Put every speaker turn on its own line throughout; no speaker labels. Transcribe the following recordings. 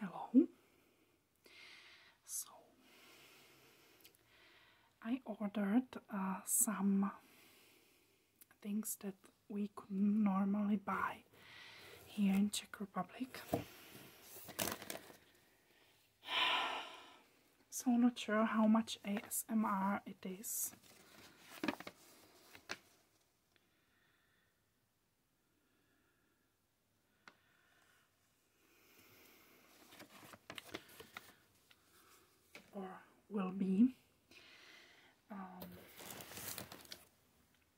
Hello. So I ordered uh, some things that we could normally buy here in Czech Republic. So not sure how much ASMR it is or will be. Um,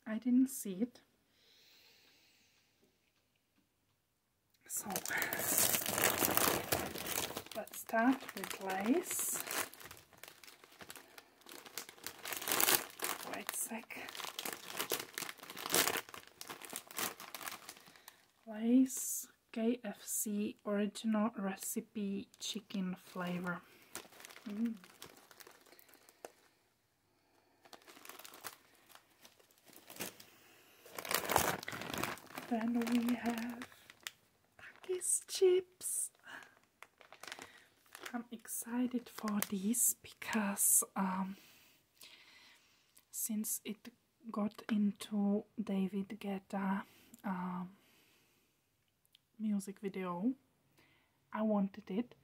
I didn't see it. So let's start with lace where it's like KFC original recipe chicken flavor. Mm. Then we have Takis chips. I'm excited for this because um, since it got into David Guetta um, music video, I wanted it,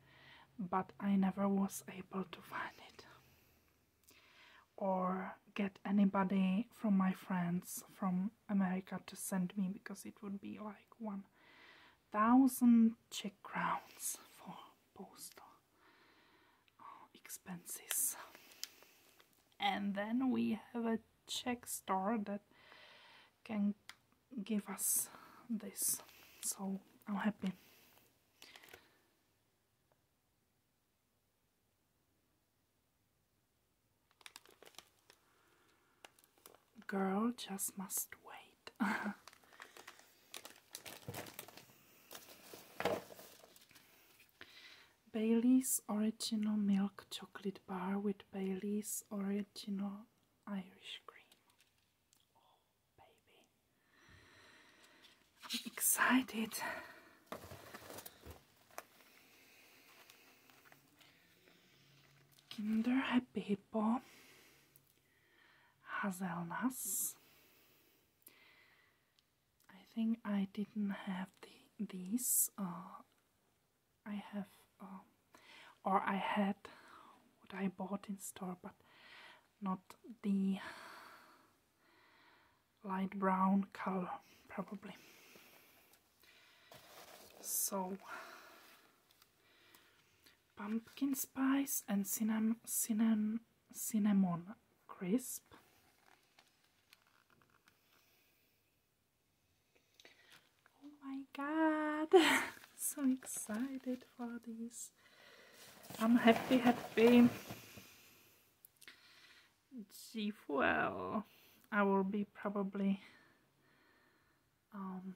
but I never was able to find it or get anybody from my friends from America to send me because it would be like one thousand Czech crowns for postal uh, expenses. And then we have a check store that can give us this, so I'm happy. Girl just must wait. Bailey's Original Milk Chocolate Bar with Bailey's Original Irish Cream. Oh, baby. excited. Kinder Happy Hippo, Hazelnuts. I think I didn't have these. Uh, I have, uh, or I had what I bought in store, but not the light brown color, probably. So, pumpkin spice and cinnamon, cinnamon, cinnamon crisp. Oh my god! so excited for this. I'm happy, happy. G well, I will be probably um,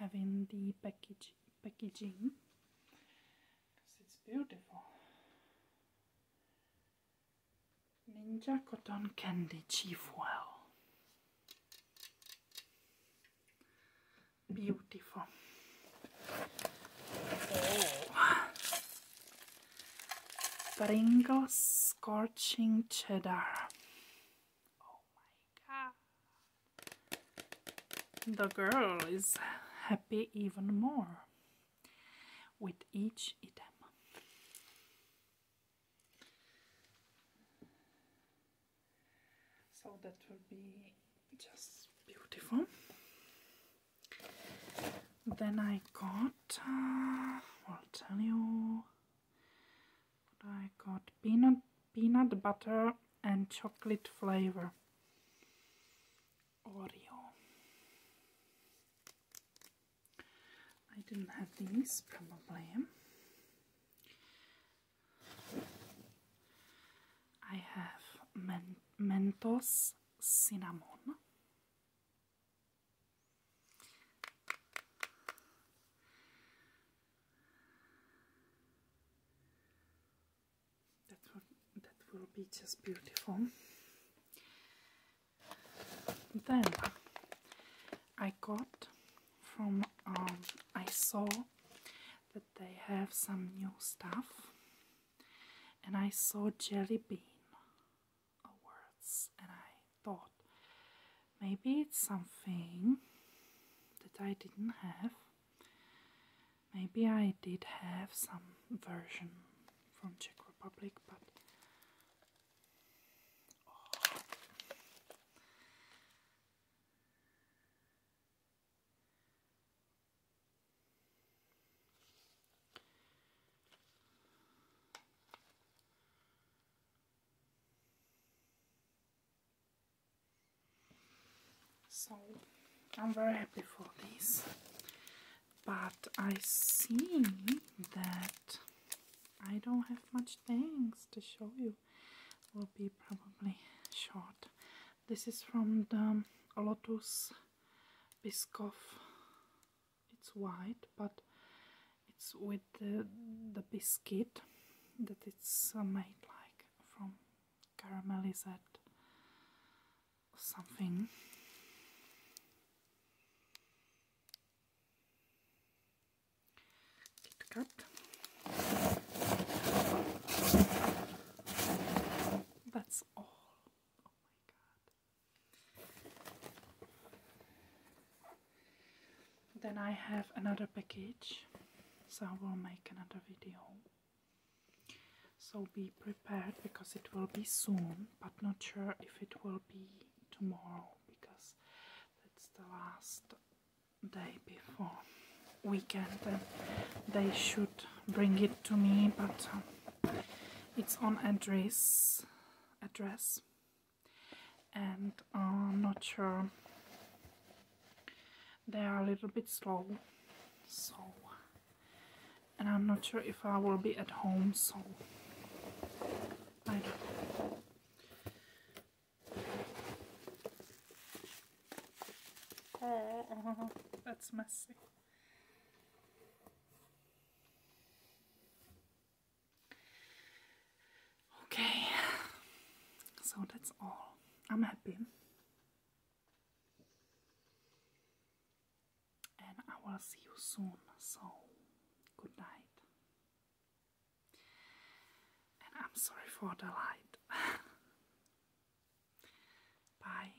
having the package packaging because it's beautiful. Ninja cotton candy chief well. Beautiful. Oh. Gringo scorching cheddar. Oh the girl is happy even more with each item. So that will be just beautiful. Then I got, uh, I'll tell you, I got peanut, peanut butter and chocolate flavor Oreo. I didn't have these, probably. I have Mentos cinnamon that will, that will be just beautiful. Then I got from um, I saw that they have some new stuff, and I saw jelly bean words, and I thought maybe it's something that I didn't have. Maybe I did have some version from Czech Republic, but oh. So I'm very happy for this, but I see that I don't have much things to show you. Will be probably short. This is from the Lotus Biscoff it's white but it's with the, the biscuit that it's uh, made like from caramelized something that's all oh my god then I have another package, so I will make another video. So be prepared because it will be soon, but not sure if it will be tomorrow because that's the last day before weekend they should bring it to me but um, it's on address, address, and I'm uh, not sure. They are a little bit slow, so, and I'm not sure if I will be at home, so I Oh, that's messy. Okay, so that's all. I'm happy. And I will see you soon, so good night. And I'm sorry for the light. Bye.